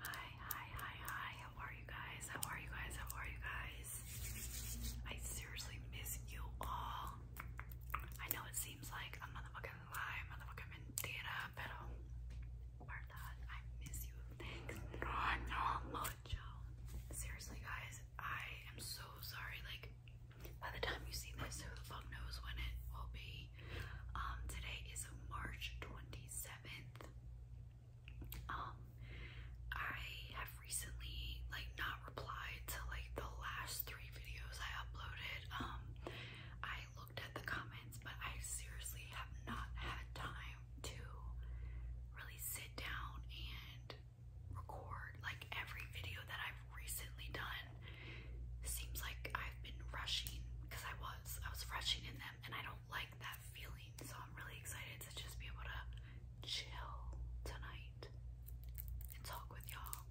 Hi, hi, hi, hi. How are you guys? How are you guys? How are you guys? I seriously miss you all. I know it seems like I'm on the fucking live, I'm on the fucking mentira, pero verdad, I miss you. Thanks. No, no, mucho. Seriously, guys, I am so sorry. Like, by the time you see this, who the fuck knows when it will be? Um, today is March 27th. Um, I have recently like not replied to like the last three videos I uploaded. Um, I looked at the comments, but I seriously have not had time to really sit down and record like every video that I've recently done seems like I've been rushing because I was I was rushing in them and I don't like that feeling. So I'm really excited to just be able to chill tonight and talk with y'all.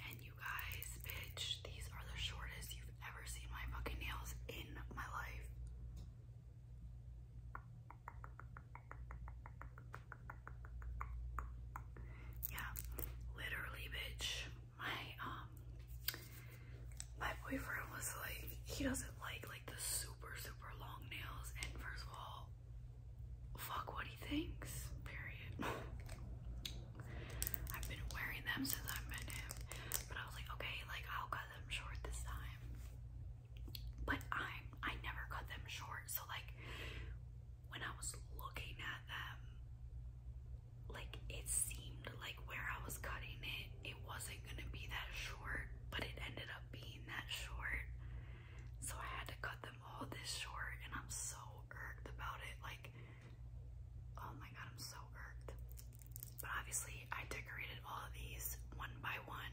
And you guys, bitch, these are the shortest you've ever seen my fucking nails in my life. Yeah, literally, bitch my um my boyfriend was like he doesn't like like the super super long nails and first of all fuck what he thinks period I've been wearing them since I met him but I was like okay like I'll cut them short this time but I'm I never cut them short so like when I was looking at them like it seemed like where I was cutting it, it wasn't gonna be that short, but it ended up being that short. So I had to cut them all this short, and I'm so irked about it. Like, oh my god, I'm so irked. But obviously, I decorated all of these one by one,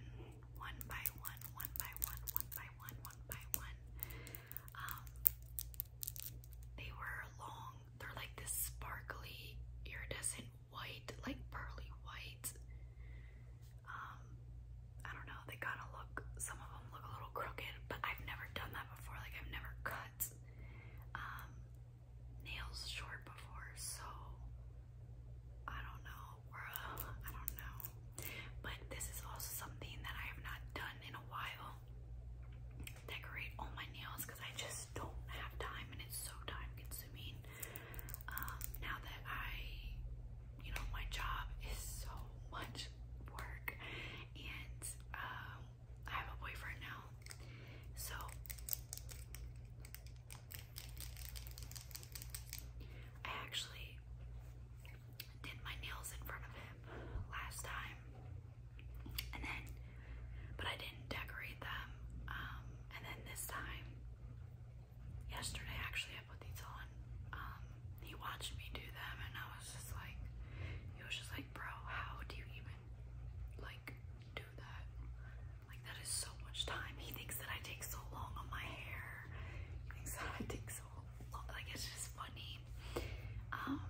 one by one, one by one, one by one, one by one. Um, they were long they're like this sparkly, iridescent white, like pearly white. Um, I don't know, they kind of look, some of them look a little crooked, but I've never done that before. Like, I've never cut um, nails short before, so I don't know, bro. I don't know. But this is also something that I have not done in a while decorate all my nails because I just don't have time and it's so time consuming. Um, now that I, you know, my job is so much work and um, I have a boyfriend now, so I actually did my nails in front of him last time and then but I didn't decorate them um, and then this time yesterday actually I put these on um, he watched me do them and I was just like he was just like bro how do you even like do that like that is so much time he thinks that I take so long on my hair he thinks that I take so long like it's just funny um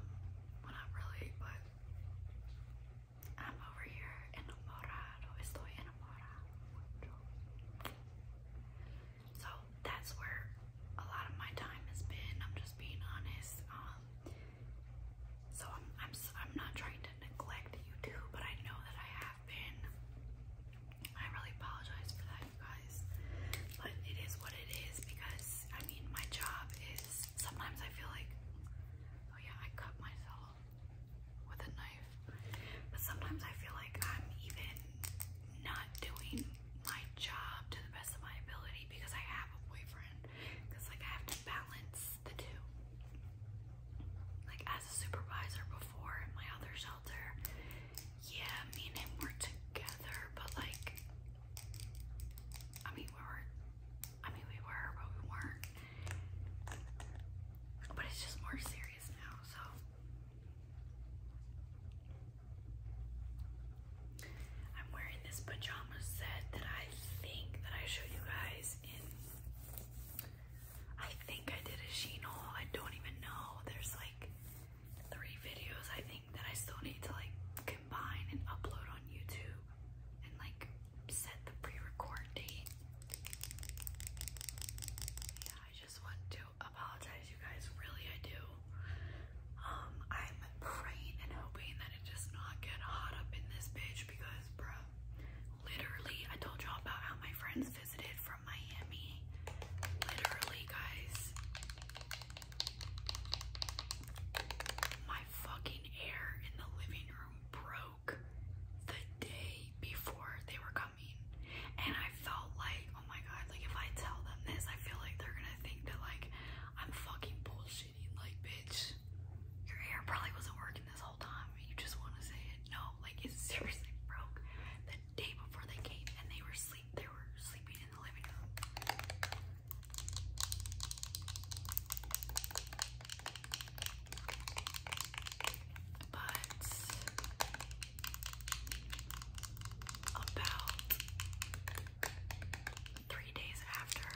not really but I'm over here enamorado. Estoy enamorado. So that's where a lot of my time has been. I'm just being honest. Um, so I'm I'm I'm not trying to neglect YouTube, but I know that I have been. I really apologize for that, you guys. But it is what it is because I mean my job is sometimes I feel like, oh yeah, I cut myself with a knife. But sometimes I feel like I'm even not doing my job to the best of my ability because I have a boyfriend. Because like I have to balance the two. Like as a supervisor before in my other shelter, yeah, me and him were together, but like I mean we were I mean, we were, but we weren't. But it's just more serious now, so. I'm wearing this pajama set that I think that I showed you guys in. I think I did a Sheen haul. I don't even know. There's like three videos I think that I still need to like combine and upload on YouTube and like set the pre-record date. Yeah, I just want to apologize you guys, really I do. Um, I'm praying and hoping that it does not get hot up in this bitch because bro, literally I told y'all about how my friends visited from Miami. Literally guys. My fucking air in the living room broke the day before they were coming. And I felt like, oh my god, like if I tell them this, I feel like they're gonna think that like I'm fucking bullshitting. Like, bitch, your air probably wasn't working this whole time. You just wanna say it. No, like it seriously broke the day before they came and they were sleep they were sleeping in the living room. But about three days after,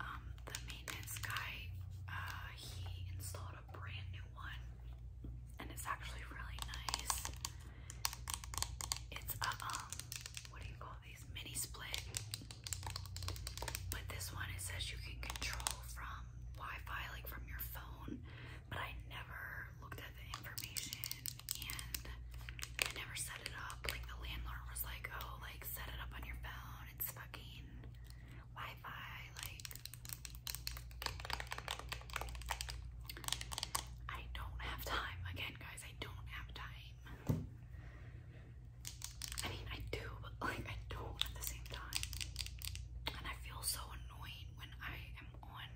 um, the maintenance guy, uh, he installed a brand new one and it's actually really nice. It's um, what do you call these? Mini split. But this one it says you can control from Wi-Fi, like from your phone. But I never looked at the information and I never set it up. Like the landlord was like, oh, like set it up on your phone. It's fucking Wi-Fi, like I don't have time. Again, guys, I don't have time. I mean, I do, but like, I don't at the same time. And I feel so annoyed when I am on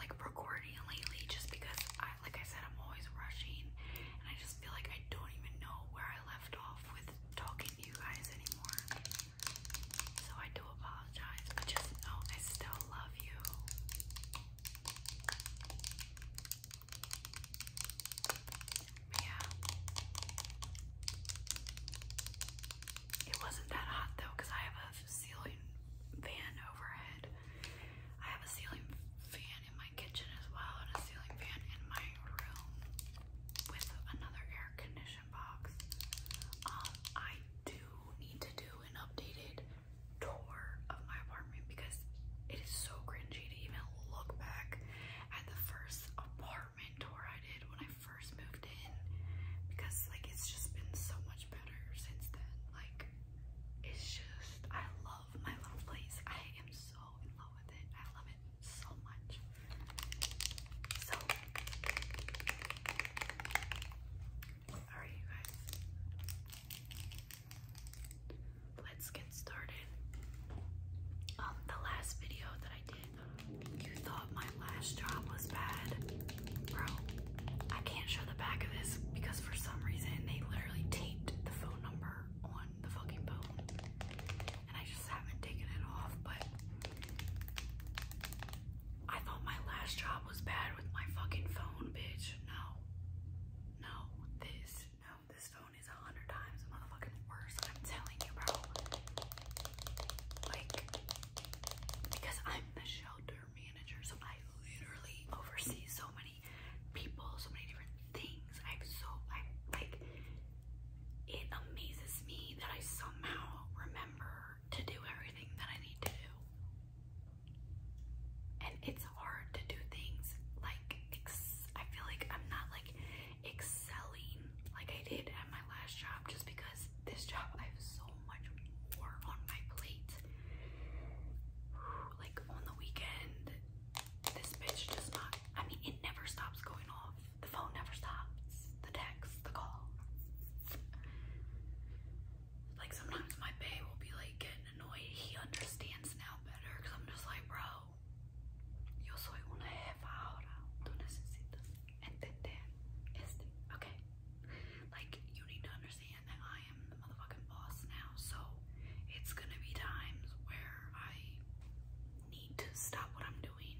like recording lately just because I, like I said, I'm always rushing and I just feel like I don't even know where I left off with talking to you guys anymore. So I do apologize, but just know I still love you. Yeah. It wasn't that hot though, I have a ceiling fan overhead. I have a ceiling fan in my kitchen as well, and a ceiling fan in my room with another air conditioner box. Um, I do need to do an updated tour of my apartment because it is so cringy to even look back at the first apartment tour I did when I first moved in because like it's just been so much better since then. Like it's just I love my little place. I am so in love with it. I love it so much. So Alright, you guys. Let's get started. Um, the last video that I did, you thought my lash job was bad. Bro, I can't show the back of this because for some reason they literally taped the phone number on the fucking bone. And I just haven't taken it off, but I thought my last job was bad with my fucking phone, bitch. No. No. This. No. This phone is a hundred times motherfucking worse. I'm telling you, bro. Like, because I'm the shelter manager, so I literally oversee so many people, so many different things. I'm so, I like, it amazes me that I somehow remember to do everything that I need to do. And it's hard to do things like, I feel like I'm not like excelling like I did at my last job just because this job I have so much more on my plate. Like on the weekend, this bitch does not, I mean, it never stops going off. The phone never stops the texts, the call. Like sometimes my bay will be like getting annoyed. He understands now better because I'm just like, bro, yo soy una jefa ahora. Tú necesitas entender este, okay? Like you need to understand that I am the motherfucking boss now. So it's gonna be times where I need to stop what I'm doing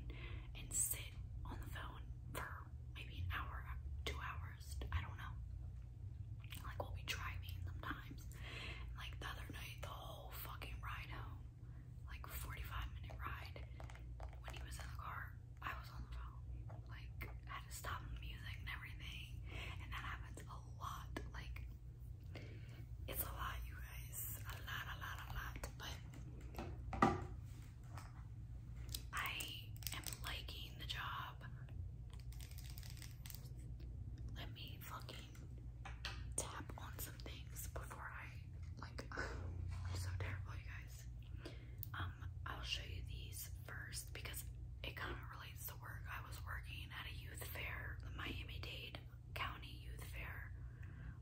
and sit on the phone for maybe an hour, two hours, I don't know. Like we'll be driving sometimes. like the other night, the whole fucking ride home, like 45 minute ride, when he was in the car, I was on the phone. Like had to stop the music and everything. And that happens a lot. Like it's a lot, you guys. A lot, a lot, a lot. But I am liking the job. Let me fucking tap on some things before I like so terrible you guys. Um I'll show you these first because it kind of relates to work. I was working at a youth fair, the Miami Dade County Youth Fair.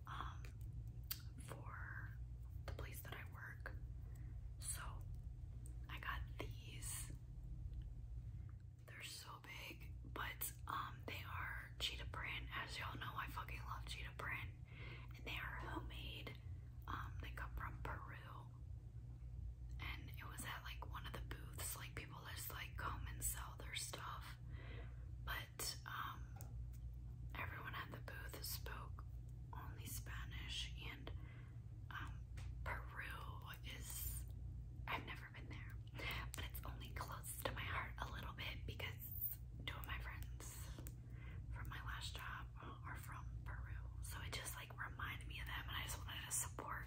Um for the place that I work. So I got these. They're so big, but um they are cheetah print. As y'all know, I fucking love cheetah print. And they are homemade. Um, they come from Peru. And it was at like one of the booths, like people just like come and sell their stuff. But um everyone at the booth spoke only Spanish, and um, Peru is, I've never been there, but it's only close to my heart a little bit because two of my friends from my last job are from Peru, so it just like reminded me of them, and I just wanted to support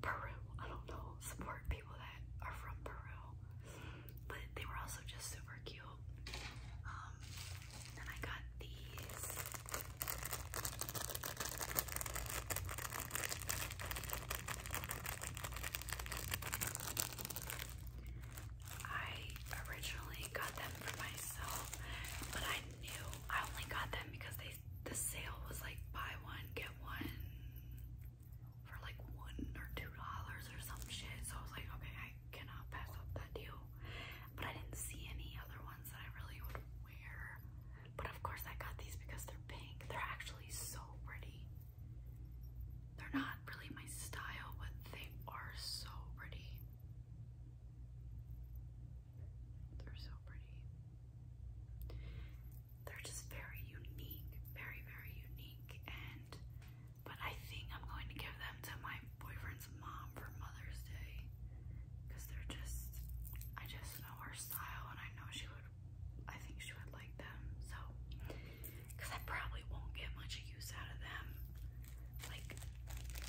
Peru. I don't know, support people that are from Peru but they were also just super cute. Um, I got these. I originally got them for myself, but I knew I only got them because they the sale was like buy one get one for like one or two dollars or some shit. So I was like, okay, cannot pass up that deal. But I didn't see any other ones that I really would wear. But of course I got these because they're pink. They're actually so pretty. They're not really my style, but they are so pretty. They're so pretty. They're just very unique, very, very unique, and but I think I'm going to give them to my boyfriend's mom for Mother's Day. Because they're just, I just know her style and I know she would, I think she would like them. So, because I probably won't get much use out of them. Like,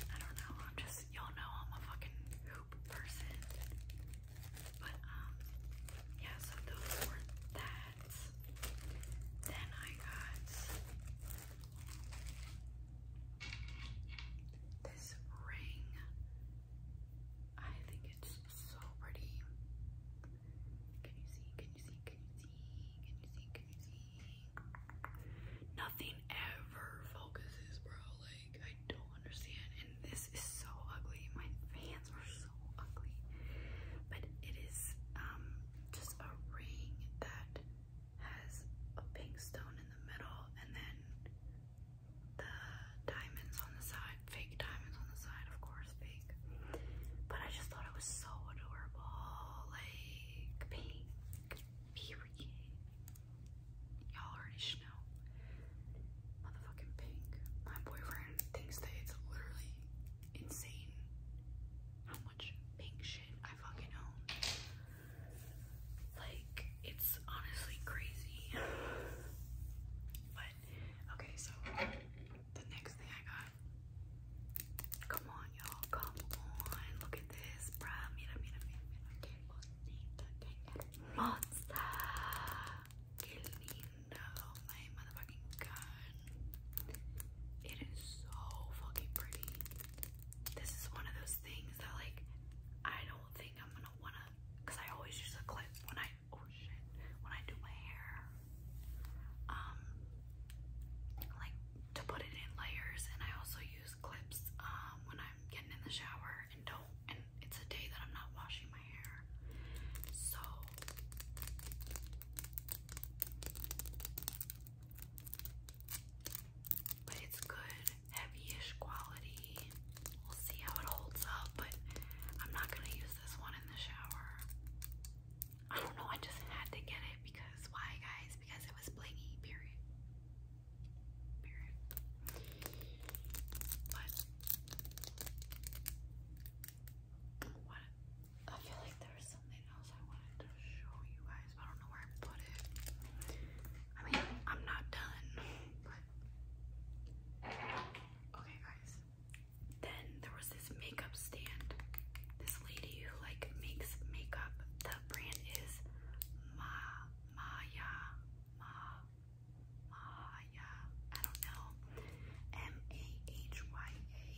I don't know, I'm just, y'all know I'm a fucking hoop person. But, um, yeah, so those were that. Then I got this ring. I think it's so pretty. Can you see? Can you see? Can you see? Can you see? Can you see? Nothing ever focuses, bro. Like, I don't understand. And this is so ugly. My fans are so ugly. But it is um just a ring that has a pink stone in the middle and then the diamonds on the side, fake diamonds on the side, of course, fake. But I just thought it was so adorable, like pink, Y'all already know, motherfucking pink. My boyfriend thinks that it's literally insane how much pink shit I fucking own. Like, it's honestly crazy. but, okay, so the next thing I got. Come on, y'all. Come on. Look at this, bruh. Mira, mira, mira, mira. Qué bonita, qué hermosa. Qué linda. my motherfucking god. It is so fucking pretty. This is one of those things that like I don't think I'm gonna wanna because I always use a clip when I oh shit when I do my hair. Um like to put it in layers and I also use clips um when I'm getting in the shower and don't and it's a day that I'm not washing my hair. So but it's good, heavy quality. We'll see how it holds up, but I'm not gonna use this one in the shower. I don't know, I just had to get it because why guys? Because it was blingy, period. Period. But what? I feel like there's something else I wanted to show you guys, but I don't know where I put it. I mean, I'm not done, but okay, guys. Then there was this makeup stand. This lady who like makes makeup. The brand is Ma Maya Ma Maya. I don't know. M A H Y A.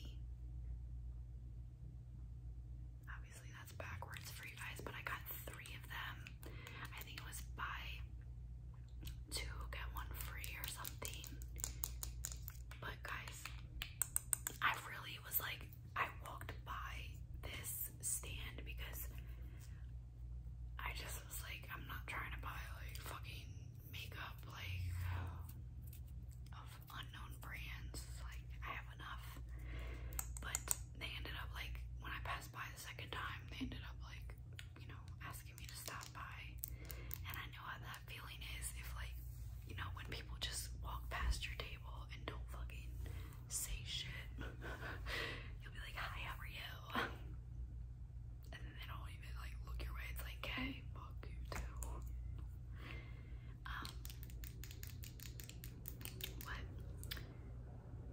Obviously, that's backwards for you guys, but I got three of them. I think it was buy two, get one free or something. But, guys, I really was like, I walked by this stand because I just was like, I'm not trying to buy like fucking makeup, like unknown brands. Like I have enough, but they ended up like when I passed by the second time, they ended up like you know asking me to stop by, and I know how that feeling is. If like you know when people just walk past your table and don't fucking say shit, you'll be like, "Hi, how are you?" and they don't even like look your way. It's like, "Okay, fuck you too." Um,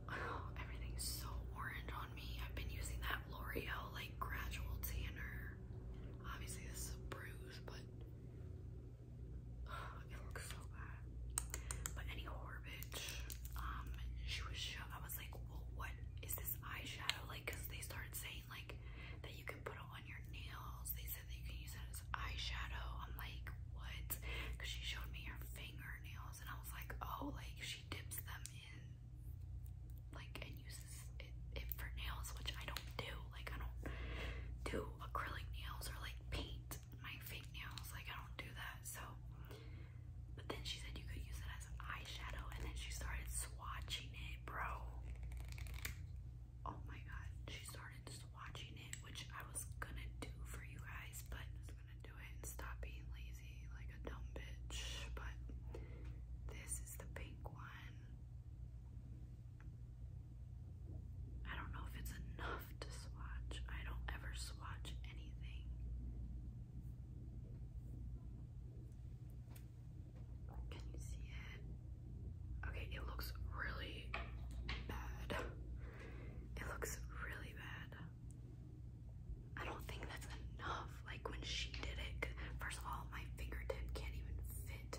oh, everything's so orange on me. I've been using that L'Oreal like gradual tanner. Obviously, this is a bruise, but it looks so bad. But any horror bitch, um, she was. I was like, well, what is this eyeshadow like? Cause they started saying like that you can put it on your nails. They said that you can use it as eyeshadow. I'm like, what? Because she showed me her fingernails and I was like, oh, like she dips them in like and uses it, it for nails, which I don't do. Like I don't do acrylic nails or like paint my fake nails. Like I don't do that. So but then she said you could use it as eyeshadow and then she started swatching it, bro oh my god, she started swatching it, which I was gonna do for you guys, but I was gonna do it and stop being lazy like a dumb bitch. But this is the pink one. I don't know if it's enough to swatch. I don't ever swatch anything. Can you see it? Okay, it looks really bad. It looks really bad. I don't think that's enough. Like when she did it, first of all, my fingertip can't even fit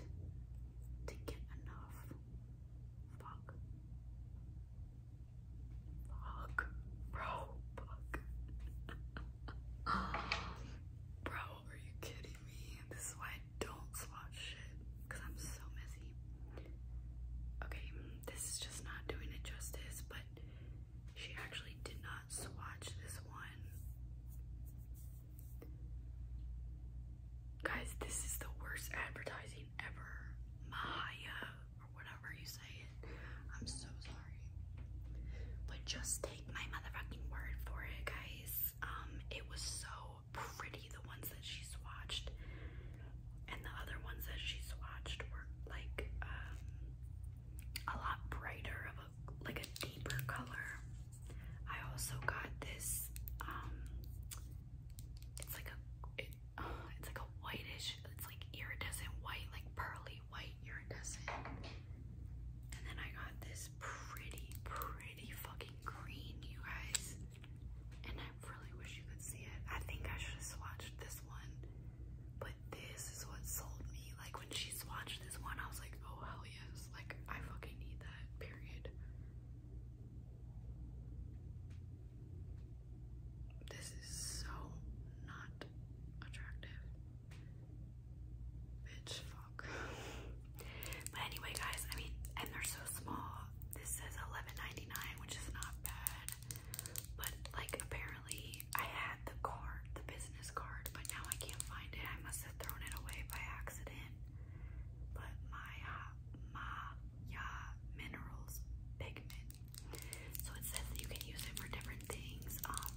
to get enough. Fuck. Fuck. Bro, Bro, are you kidding this is why I don't swatch shit because I'm so messy. Okay, this is just not doing it justice, but she actually did not swatch this one. Guys, this is the worst advertising ever. Maya, or whatever you say it. I'm so sorry. But just take my motherfucking word for it, guys. Um, it was so pretty, the ones that she swatched. And the other ones that she swatched were like um, a lot brighter of a like a deeper color. I also got this um, it's like a it's like a whitish it's like iridescent white like pearly white iridescent and then I got this pretty pretty fucking green, you guys. And I really wish you could see it. I think I should have swatched this one. But this is what sold me. Like when she swatched this one, I was like, oh hell yes. Like I fucking need that, period. This is so not attractive. Bitch, fuck. But anyway, guys, I mean, and they're so small. This says $11.99, which is not bad. But, like, apparently I had the card, the business card, but now I can't find it. I must have thrown it away by accident. But my, uh, my, yeah, minerals pigment. So it says you can use it for different things. Um,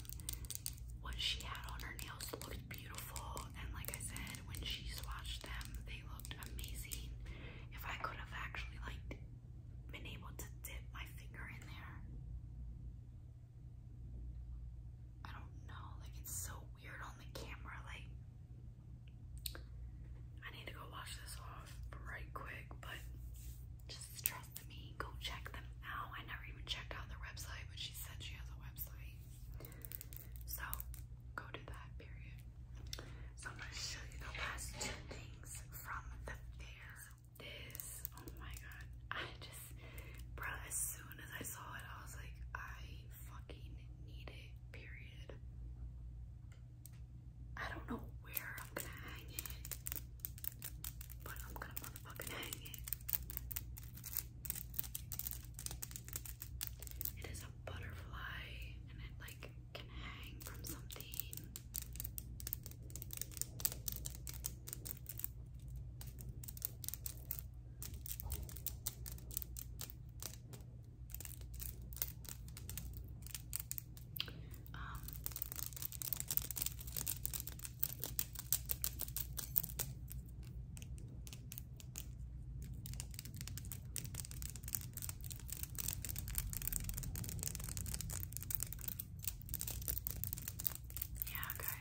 what she had on her nails looked beautiful, and like I said, when she swatched them, they looked amazing. If I could have actually like been able to dip my finger in there, I don't know. Like it's so weird on the camera. Like I need to go wash this off right quick, but just trust me. Go check them out. I never even checked out their website, but she said she has a website. So go to that period. So I'm gonna show you the last two things from the fair. This, oh my god, I just, bro, as soon as I saw it, I was like, I fucking need it, period. I don't know where I'm gonna hang it, but I'm gonna motherfucking hang it. It is a butterfly and it like can hang from something. Um yeah, guys.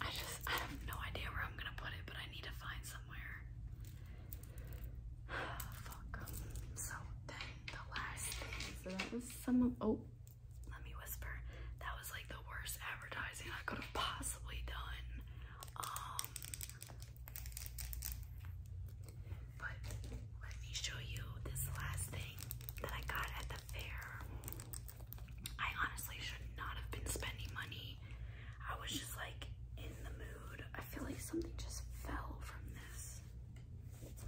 I just I have no idea where I'm gonna put it, but I need to find somewhere. Fuck. So then the last thing. So that was some oh, let me whisper. That was like the worst advertising I could possibly done. Um, but let me show you this last thing that I got at the fair. I honestly should not have been spending money. I was just like in the mood. I feel like something just fell from this.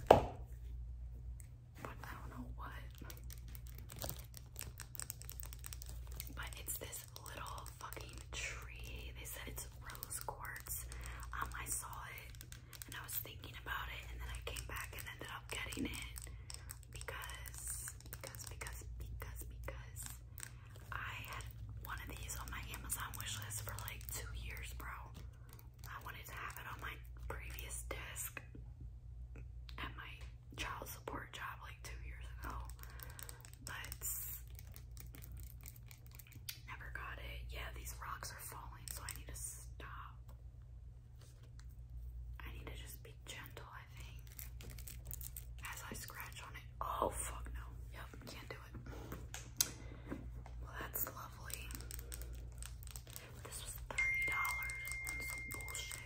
But I don't know what. But it's this little fucking tree. They said it's rose quartz. Um, I saw it and I was thinking about it and then I came back and ended up getting it because, because, because, because, because I had one of these on my Amazon wish list for like two years, bro. I wanted to have it on my previous desk at my child support job like two years ago, but never got it. Yeah, these rocks are falling, so I need to stop. I need to just be gentle, I think. As I scratch on it. Oh, fuck no. Yep, can't do it. Well, that's lovely. This was $30. That's some bullshit.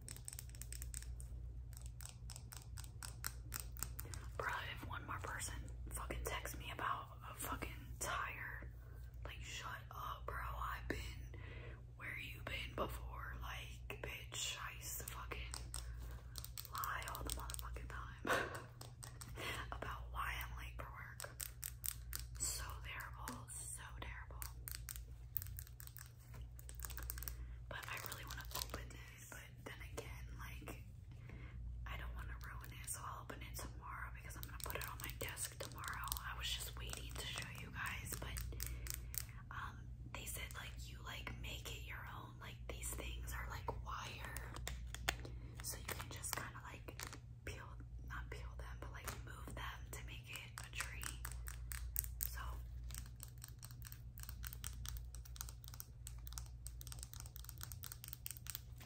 Bro, if one more person fucking texts me about a fucking tire, like shut up, bro. I've been where you been before, like bitch. I fucking lie all the motherfucking time about why I'm late for work. So terrible, so terrible. But I really want to open this, but then again, like, I don't want to ruin it, so I'll open it tomorrow because I'm going to put it on my desk tomorrow. I was just waiting to show you guys, but um, they said, like, you, like, make it your own. Like, these things are, like, wire, so you can just kind of, like, peel, not peel them, but, like, move them to make a tree. So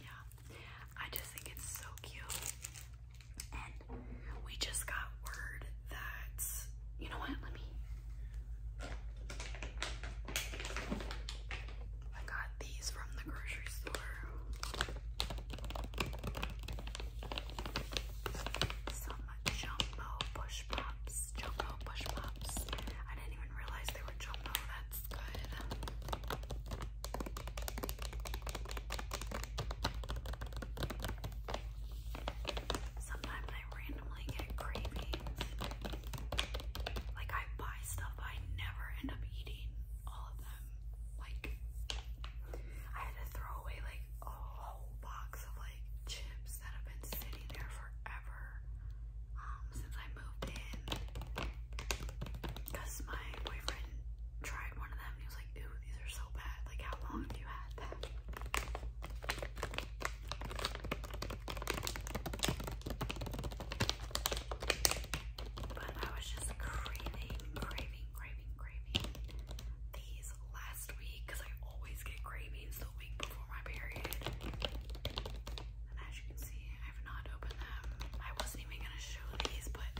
yeah, I just think it's so cute. And we just got word that, you know what, let me, I got these from the grocery store. Some jumbo push pops. Jumbo push pops. I didn't even realize they were jumbo. That's good. Sometimes I randomly get cravings. Like I buy stuff I never end up eating all of them. Like I had to throw away like a whole box of chips that have been sitting there forever um, since I moved in because my boyfriend tried one of them and he was like, ooh, these are so bad. Like, how long have you had that? But I was just craving, craving, craving, craving last week because I always get cravings the week before my period. And as you can see, I have not opened them. I wasn't even gonna show these, but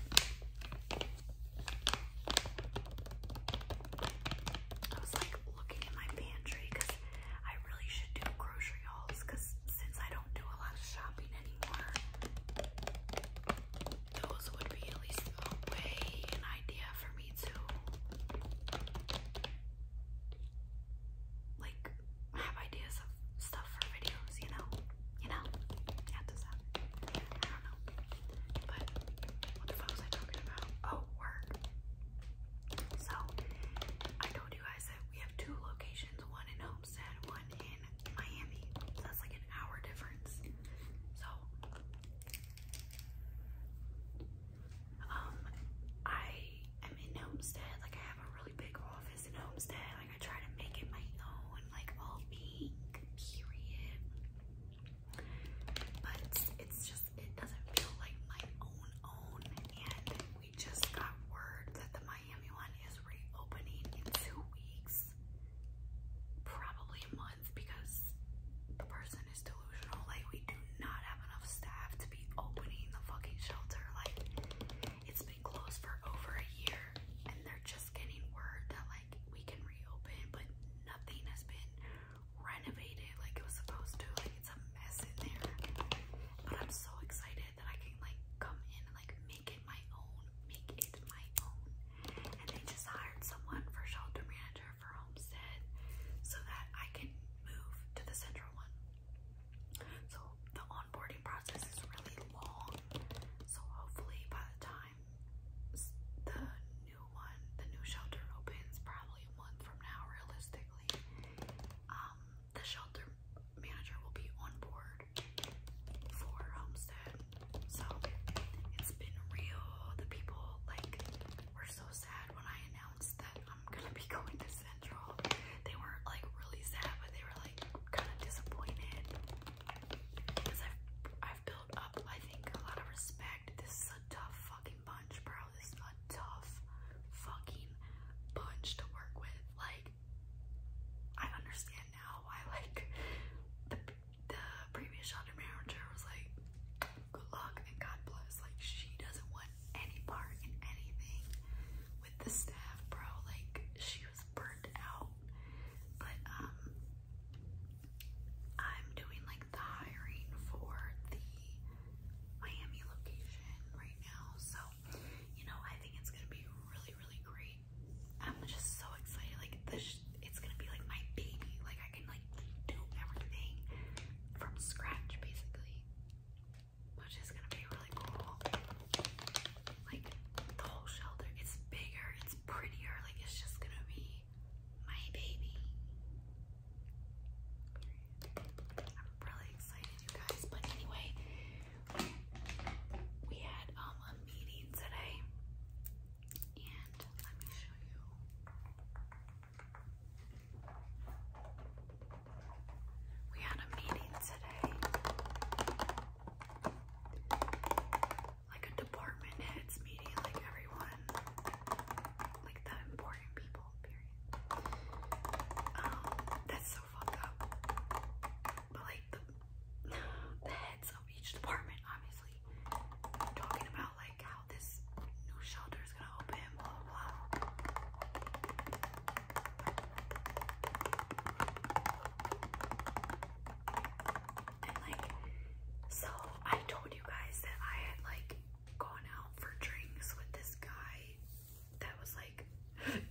I was like looking in my pantry because I really should do grocery hauls because since I don't do a lot of shopping anymore those would be at least a way, an idea for me to like have ideas of stuff for videos, you know, you know, at this app. I don't know, but what the fuck was I talking about? Oh, work. So I told you guys that we have two locations, one in Homestead, one in Miami. that's like an hour difference. So um, I am in Homestead. Like I have a really big office in Homestead. Like I try to make it my own, like all pink, period. But it's, just it doesn't feel like my own own. And we just got word that the Miami one is reopening in two weeks. Probably because the person is delusional. Like, we do not have enough staff to be opening the fucking shelter. Like, it's been closed for over a year, and they're just getting word that, like, we can reopen, but nothing has been renovated like it was supposed to. Like, it's a mess in there. But I'm so excited that I can, like, come in and, like, make it my own. Make it my own. And they just hired someone for shelter manager for Homestead so that I can move to the central one. So the onboarding process is really long. So hopefully by the time the new one, the new shelter opens probably a month from now realistically, um, the shelter manager will be on board for Homestead. So it's been real. The people like were so sad when I announced that I'm gonna be going to Central. They were like really sad, but they were like kind of disappointed because I've I've built up I think a lot of respect. This is a tough fucking bunch, bro. This is a tough fucking bunch to work with. Like I understand now why like the previous shelter manager was like, good luck and God bless. Like, she doesn't want any part in anything with the staff, bro. Like, she was burnt out. But, um, I'm doing like the hiring for the Miami location right now. So, you know, I think it's gonna be really, really great. I'm just so excited. Like, the it's gonna be like my baby. Like I can like do everything from scratch basically, which is gonna be really cool. Like the whole shelter, it's bigger, it's prettier. Like it's just gonna be my baby. I'm really excited, you guys. But anyway, we had um a meeting today, and let me show you. We had a meeting today. Like a department heads meeting, like everyone, like the important people, period. Um, that's so fucked up. But like the, heads of each department, obviously, talking about like how this new shelter is gonna open, blah blah blah. And like so I told you guys that I had like gone out for drinks with this guy that was like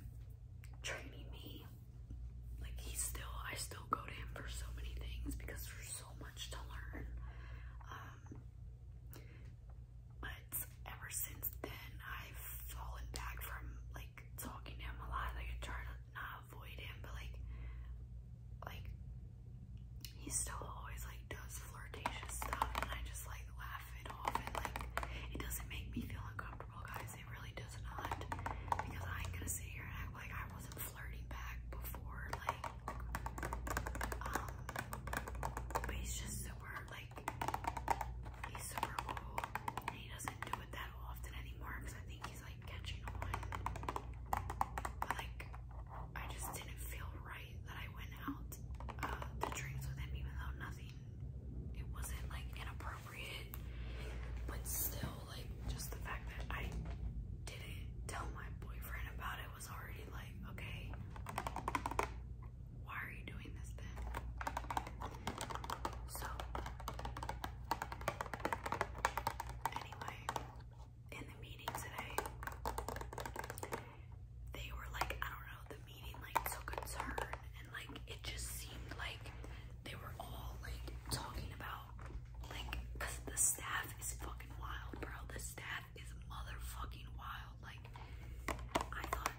training me. Like he's still I still go to him for so many things because for so so much to learn. Um, but ever since then, I've fallen back from like talking to him a lot. Like I try to not avoid him, but like, like he still always like does flirtatious stuff, and I just like laugh it off. And like, it doesn't make me feel uncomfortable, guys. It really does not, because I'm gonna sit here and like I was flirting back before, like, um, but he's just super, like, he's super cool, and he doesn't do it that often anymore, because I think he's, like, catching on, but, like, I just didn't feel right that I went out uh, drinks with him, even though nothing, it wasn't, like, inappropriate, but still, like just the fact that I didn't tell my boyfriend about it was already like, okay, why are you doing this then? So anyway, in the meeting today, they were like, I don't know, the meeting like took a turn and like it just seemed like they were all like talking about like, cause the staff is fucking wild, bro. The staff is motherfucking wild. Like, I thought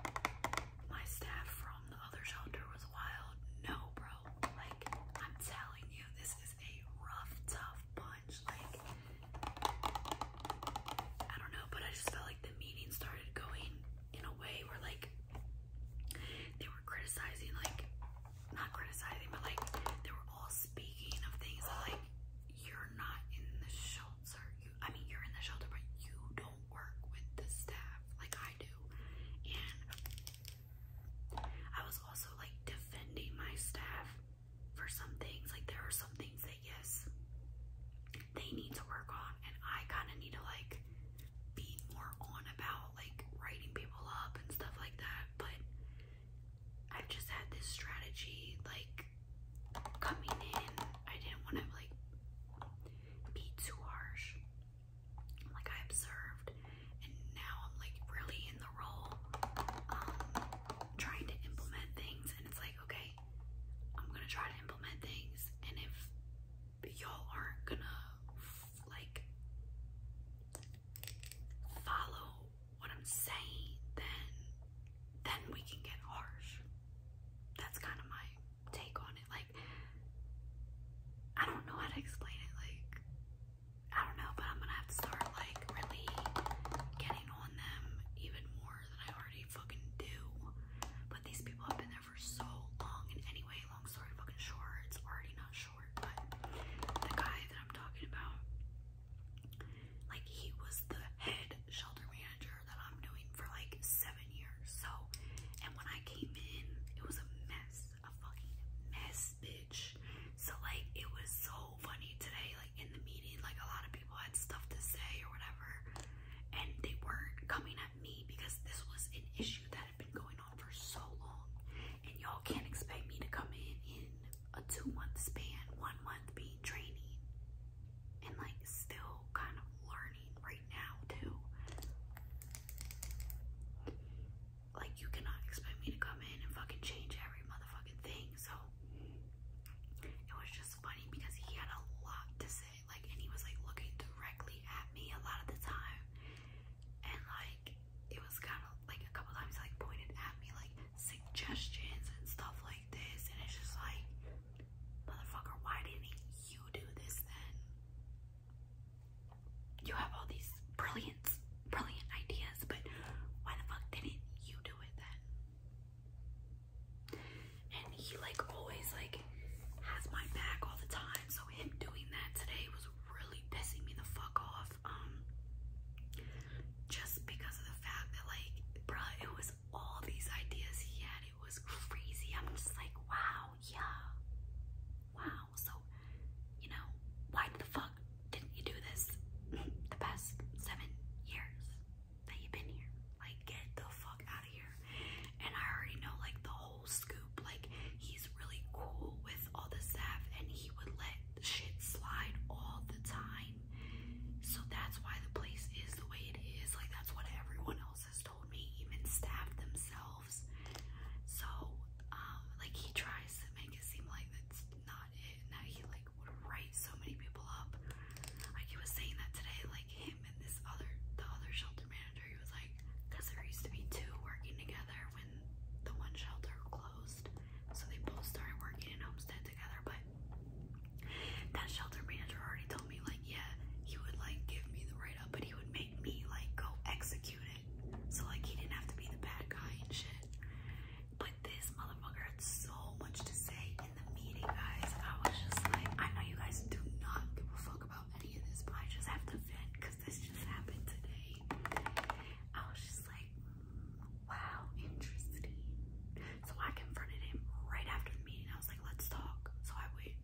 my staff from the other shelter was wild. No, bro. Like, I'm telling you, this is a rough, tough bunch. Like, I don't know, but I just felt like the meeting started going in a way where, like, they were criticizing, like, not criticizing, but like they were all speaking of things like you're not in the shelter. I mean, you're in the shelter, but you don't work with the staff like I do. And I was also like defending my staff for some things. Like there are some things that yes, they need to work on, and I kind of need to like be more on about like writing people up and stuff like that. But I've just had this strategy like coming in. I didn't want to like be too harsh. Like I observed, and now I'm like really in the role, um, trying to implement things. And it's like, okay, I'm gonna try to implement things, and if y'all aren't gonna like follow what I'm saying, then then we can get harsh. That's kind of my take on it. Like I don't know how to explain it. Like I don't know, but I'm gonna have to start like really getting on them even more than I already fucking do. But these people have been there for so long, and anyway, long story fucking short, it's already not short, but the guy that I'm talking about, like he was the head shelter manager that I'm doing for like seven years. So, and when I came in, it was a mess, a fucking mess, bitch. So like, it was so funny today, like in the meeting, like a lot of people had stuff to say or whatever, and they weren't coming at me because this was an issue that had been going for so long, and y'all can't expect me to come in in a two month span, one month being training, and like still kind of learning right now, too. Like, you cannot expect me to come in and fucking change every motherfucking thing, so it was just funny because he had a lot to say, like, and he was like looking directly at me a lot of the time and like it was kind of like a couple times like pointed at me like suggestions and stuff like this and it's just like motherfucker why didn't you do this then you have all these brilliant brilliant ideas but why the fuck didn't you do it then and he like always like has my back all the time so him doing that today was really pissing me the fuck off um, just because of the fact that like, bruh, it was all these ideas he had. It was crazy. I'm just like, wow, yeah, wow. So, you know, why the fuck didn't you do this the past seven years that you've been here? Like, get the fuck out of here. And I already know like the whole scoop like he's really cool with all the staff and he would let shit slide all the time. So that's why the place is the way it is. Like that's what everyone else has told me, even staff themselves. So um, like he tries to make it seem like that's not it and that he like would write so many people up. Like he was saying that today, like him and this other the other shelter manager, he was like, because there used to be two working together when the one shelter closed, so they both started working in Homestead together. But that shelter manager already told me, like, yeah, he would like give me the write up, but he would make me like go execute it. So like he didn't have to be the bad guy and shit. But this motherfucker had so much to say in the meeting, guys. I was just like, I know you guys do not give a fuck about any of this, but I just have to vent because because this just happened today. I was just like, wow, interesting. So I confronted him right after the meeting. I was like, let's talk. So I went,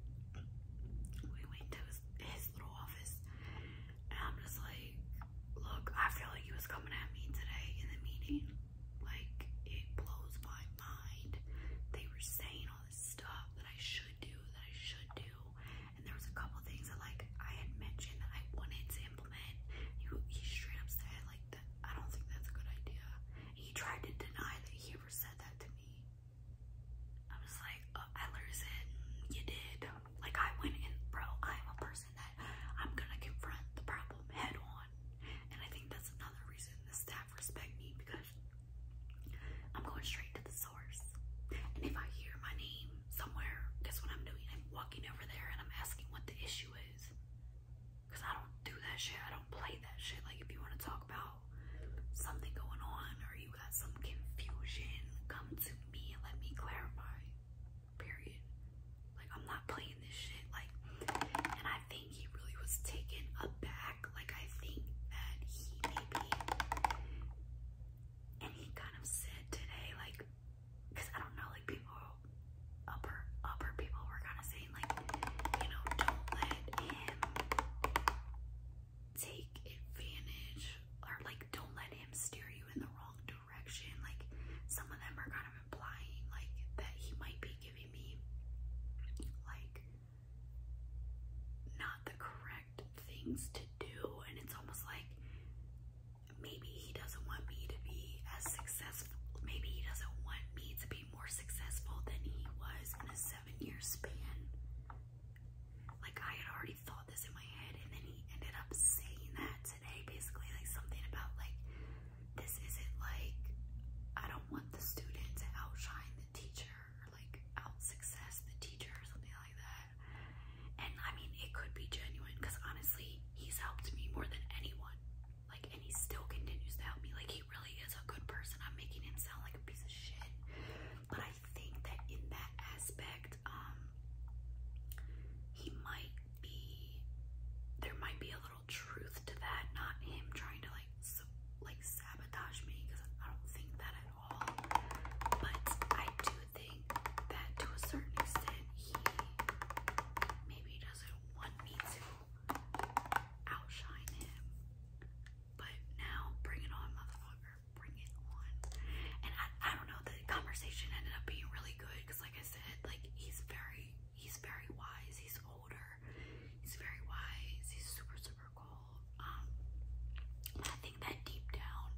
we went to his little office and I'm just like, look, I feel like he was coming at me today in the meeting. Like, it blows my mind. They were saying all this stuff that I should do, that I should do and there was a couple things that like I had mentioned that I wanted to implement. He, he straight up said like that I don't think that's a good idea. And he tried to deny that he ever said that to me. I was like, uh, I literally said you did. Like I went in, bro. I'm a person that I'm gonna confront the problem head on, and I think that's another reason the staff respect me because I'm going straight to the and if I hear my name somewhere, guess what I'm doing? I'm walking over there and I'm asking what the issue is. Because I don't do that shit. I don't play that shit. Like, if you want to talk about something going on or you got some confusion, come to me and let me clarify. Period. Like, I'm not playing this shit. Like, and I think he really was taken aback. Like, I think that he maybe and he kind of said today, like, because I don't know, like people, upper upper people were kind of saying, like, you know, don't let him take advantage, or like, don't let him steer you in the wrong direction. Like, some of them are kind of implying, like, that he might be giving me, like, not the correct things to do and it's almost like maybe he doesn't want me to be as successful maybe he doesn't want me to be more successful than he was in a seven year span like i had already thought this in my head and then he ended up saying that today basically like something about like this isn't like i don't want the student to outshine the teacher or like out success the teacher or something like that and I mean, it could be genuine because honestly, he's helped me more than anyone. Like, and he still continues to help me. Like, he really is a good person. I'm making him sound like a piece of shit. But I think that in that aspect, um, he might be, there might be a little truth to that. Not him trying to like, so, like sabotage me because I don't think that at but I do think that to a certain extent, he maybe doesn't want me to outshine him. But now, bring it on, motherfucker. Bring it on. And I don't know, the conversation ended up being really good because, like I said, like he's very, he's very wise. He's older. He's very wise. He's super, super cool. Um, I think that deep down,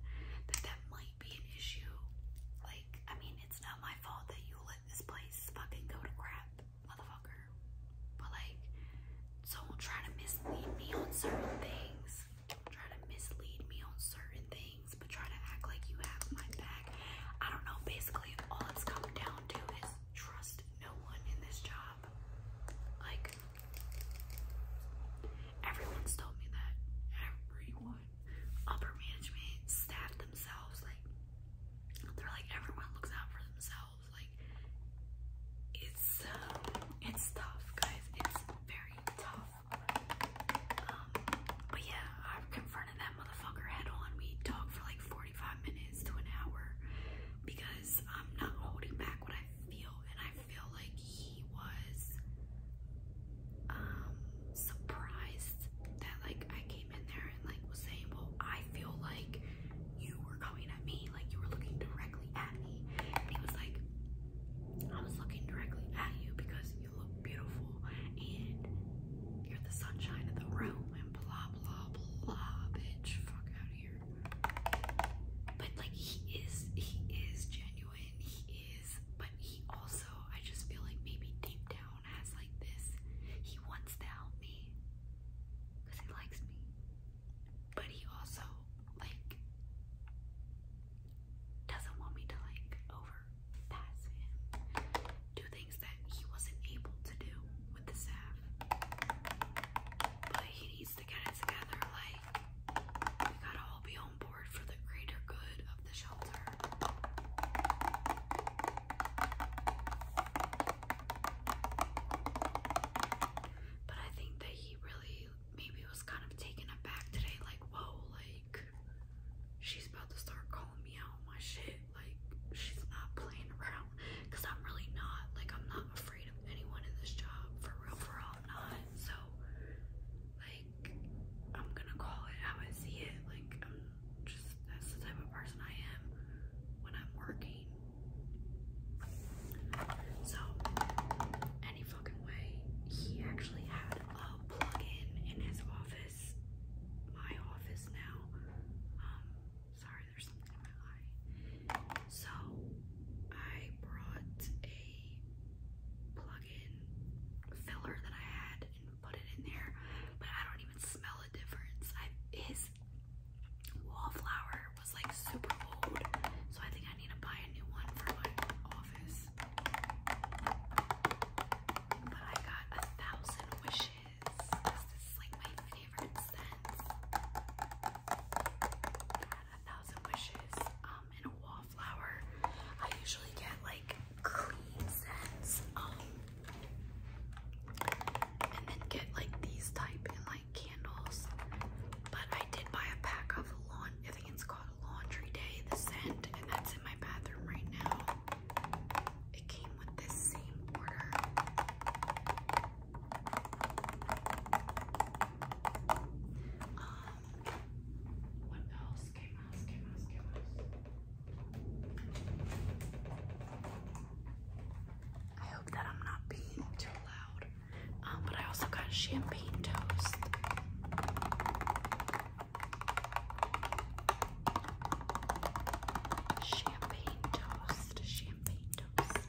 that that might be an issue. Like, I mean, it's not my fault that you let this place fucking go to crap, motherfucker. But like, don't try to mislead me on certain things. try to mislead me on certain things, but try to act like you have my back. I don't know. Basically, all it's come down to is trust no one in this job. Like, Everyone's told me that. Everyone. Upper management, staff themselves, like, they're like, everyone looks out for themselves. Like, it's, it's tough, guys. It's very tough. Um, but yeah, i confronted that motherfucker head on. We talked for like 45 minutes to an hour because I'm not holding back what I feel, and I I feel like he was um, surprised that like I came in there and like was saying, Well, I feel like you were coming at me, like you were looking directly at me. And he was like, I was looking directly at you because you look beautiful and you're the sunshine of the room and blah blah blah bitch fuck out of here. But like he is he is genuine. He but he also, I just feel like maybe deep down has like this, he wants to help me because he likes me, but he also like doesn't want me to like overpass him, do things that he wasn't able to do with the staff, but he to get it together. Like, we gotta all be on board for the greater good of the shelter. But I think that he really maybe was kind of taken aback today. Like, whoa, like, she's about to start calling me out on my shit. Like, she's not playing around. Because I'm really not. Like, I'm not afraid of anyone in this job. For real, for all I'm not. So, like I'm gonna call it how I see it. Like I'm just that's the type of person I am when I'm working. So any fucking way, he actually had a plug-in in his office, my office now. Um, sorry, there's something in my eye. So I brought a plug-in filler that I had and put it in there, but I don't even smell a difference. his wallflower was like super old, so I think I need to buy a new one for my office. But I got a thousand wishes. This is like my favorite scent. a thousand wishes. Um, and a wallflower. I usually get like clean scents, um, and then get like these type in like candles. But I did buy a pack of lawn. I think it's called Laundry Day, the scent, and that's in my bathroom right now. It came with this same order. Um, what else came out? Came out? Came out? I hope that I'm not being too loud. Um, but I also got champagne toast. Champagne toast, champagne toast.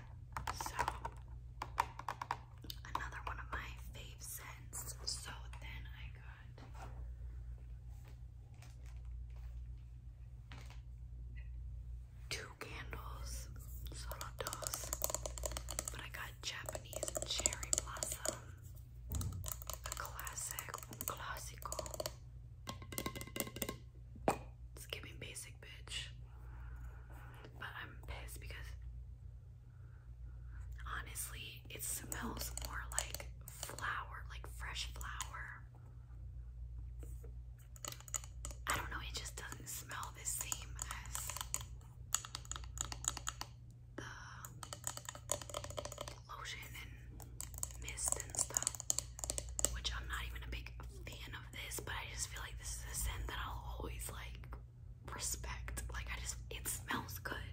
So another one of my fave scents. So then I got two candles, solo but I got Japanese cherry blossom, a classic, un it's giving basic bitch. But I'm pissed because honestly, it smells more like flour, like fresh flower. I don't know, it just doesn't smell the same as the lotion and mist and stuff, which I'm not even a big fan this, but I just feel like this is a scent that I'll always like respect. Like I just it smells good.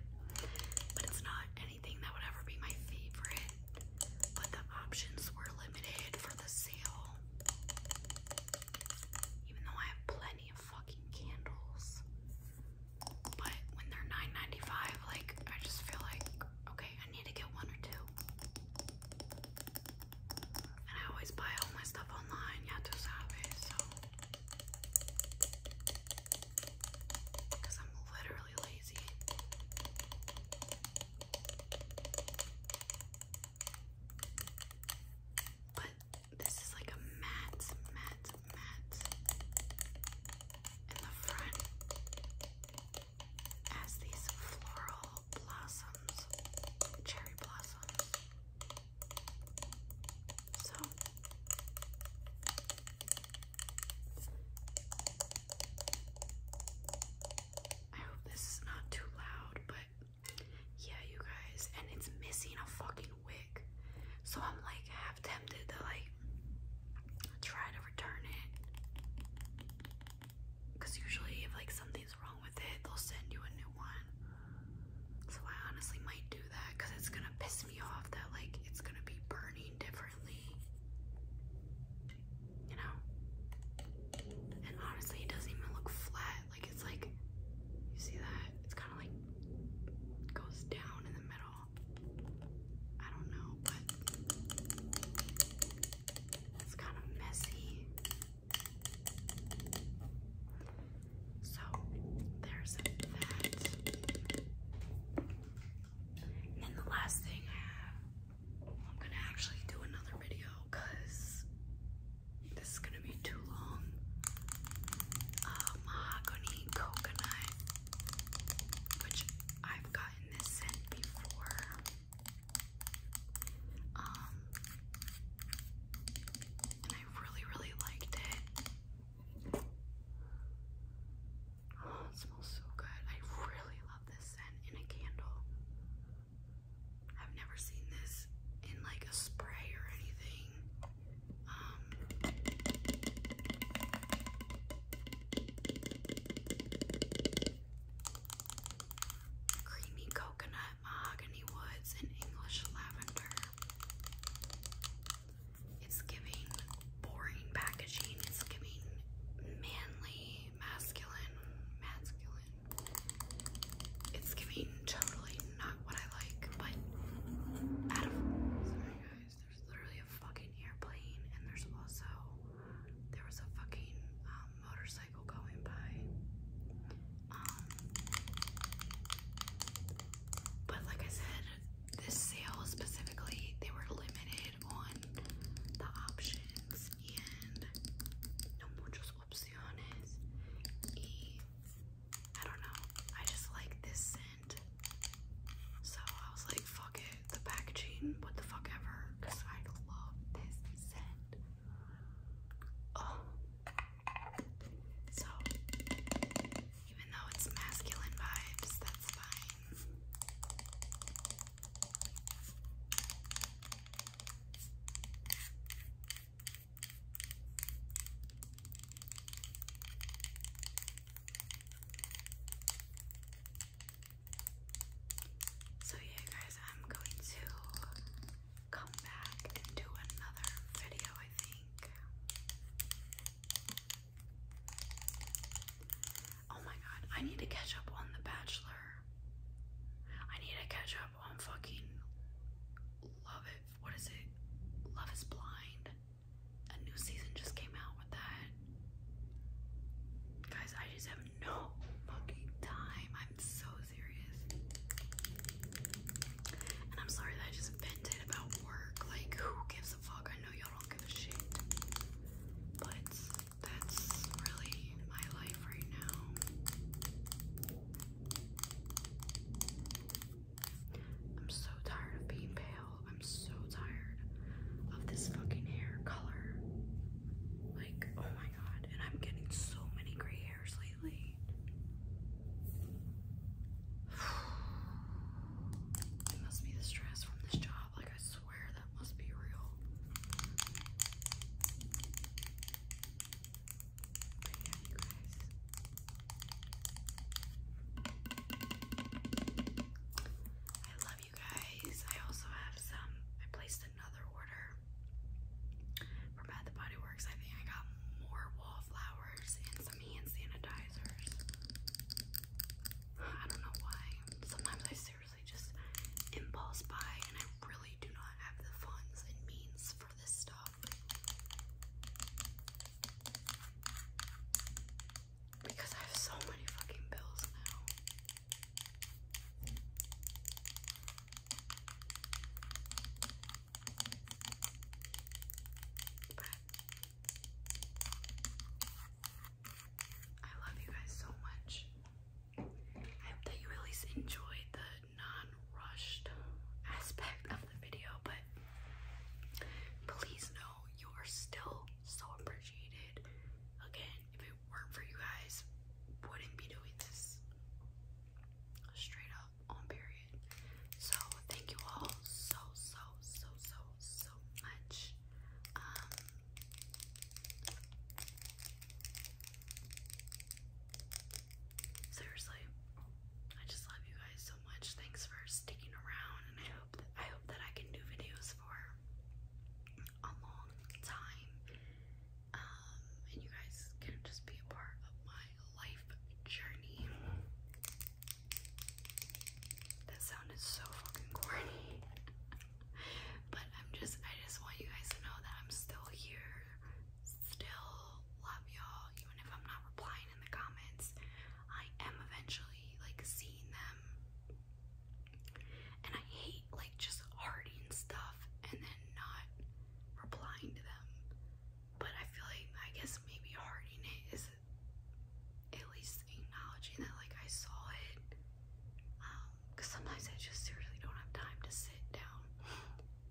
But it's not anything that would ever be my favorite. But the options were limited for the sale. Even though I have plenty of fucking candles. But when they're like I just feel like okay, I need to get one or two. And I always buy all my stuff online, yeah, to Sabe, so. Because I'm literally lazy. But this is like a matte, matte, matte in the front. Has these floral blossoms, cherry blossoms. So I hope this is not too loud, but yeah, you guys, and it's missing a fucking wig. So I'm like half tempted to like try to return it. Cause usually if like something's wrong with it, they'll send you a new one. So I honestly might do that it's gonna piss me off that like it's gonna be burning differently. You know? And honestly it doesn't even look flat. Like it's like you see that? It's kinda like goes down in the middle. I don't know, but it's kind of messy. So there's that. And the last thing I have, I'm gonna actually do another video because this is gonna be too long. Uh, mahogany coconut, which I've gotten this scent before. Um, and I really, really liked it. Oh, it smells so good. I really love this scent in a candle. I've never seen this in like a spray or anything. Um, creamy coconut, mahogany woods, and English lavender. It's giving boring packaging. It's giving manly, masculine, masculine. It's giving totally not what I like, but sorry guys, there's literally a fucking airplane, and there's also there was a fucking um, motorcycle. Um, but like I said, this sale specifically, they were limited on the options and no muchos opciones. Y I don't know. I just like this scent. So I was like, fuck it. The packaging, what the fuck ever. I love this scent. Oh. So, even though it's masculine vibes, that's fine. So yeah guys, I'm going to come back and do another video, I think. Oh my god, I need to catch up on The Bachelor. I need to catch up on fucking Love It. What is it? Love is Blind. A new season just came out with that. Guys, I just have no fucking time. I'm so serious. And I'm sorry that I just vented about work. Like, who gives a fuck? I know y'all don't give a shit. But that's really my life right now. I'm so tired of being pale. I'm so tired of this fucking hair color. Like, oh my and I'm getting so many gray hairs lately. must be the stress from this job. Like, I swear that must be real. But yeah, you guys you guys. I also have some. I placed another order from Bath and Body Works. I think I got more wallflowers and some hand sanitizers. I don't know why. Sometimes I seriously just impulse buy, and I really do not have the funds and means for this stuff. Because I have so many fucking bills now. I love you guys so much. I hope that you at least enjoyed the non-rushed aspect of the video, but please know you are still so appreciated. Again, it for you guys, wouldn't be doing this. Straight up, on period. So thank you all so so so so so much. Um, seriously, I just love you guys so much. Thanks for sticking around, and I hope I hope that I can do videos for a long time. Um, and you guys can just be a part of my life journey. That sounded so fucking corny, but I'm just, I just want you guys to know that I'm still here, still love y'all, even if I'm not replying in the comments. I am eventually like seeing them and I hate like just hearting stuff and then not replying to them. But I feel like I guess maybe hearting it is at least acknowledging that like I saw it. Because um, sometimes I just seriously don't have time to sit down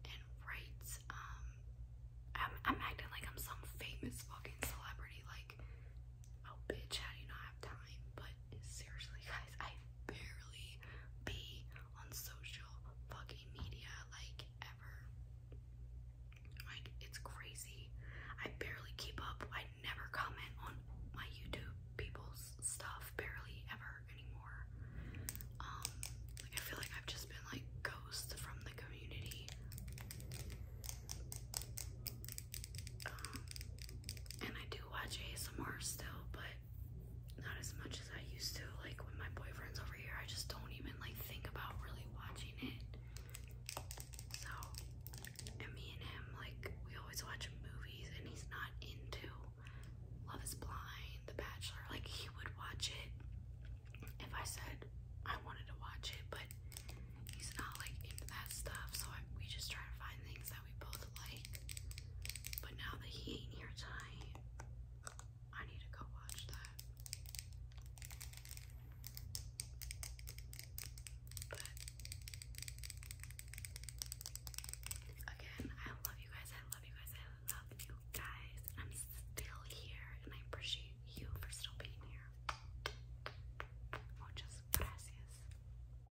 and write. Um, I'm, I'm acting like I'm some famous fucking celebrity. Like, oh bitch, how do you not have time? But seriously, guys, I barely be on social fucking media like ever. Like it's crazy. I barely keep up. I never comment on my YouTube people's stuff barely ever anymore. Um like I feel like I've just been like ghosts from the community. Um and I do watch ASMR still, but not as much as I used to. Like when my boyfriend's over here, I just don't even like think about really watching it. So, and me and him, like we always watch movies, and he's not into Love Is Blind, The Bachelor. Like he would watch it if I said I wanted to watch it, but he's not like into that stuff. So I, we just try to find things that we both like. But now that he ain't here tonight, I need to go watch that. But again, I love you guys. I love you guys. I love you guys. I'm still here, and I appreciate you for still being here. Muchas gracias.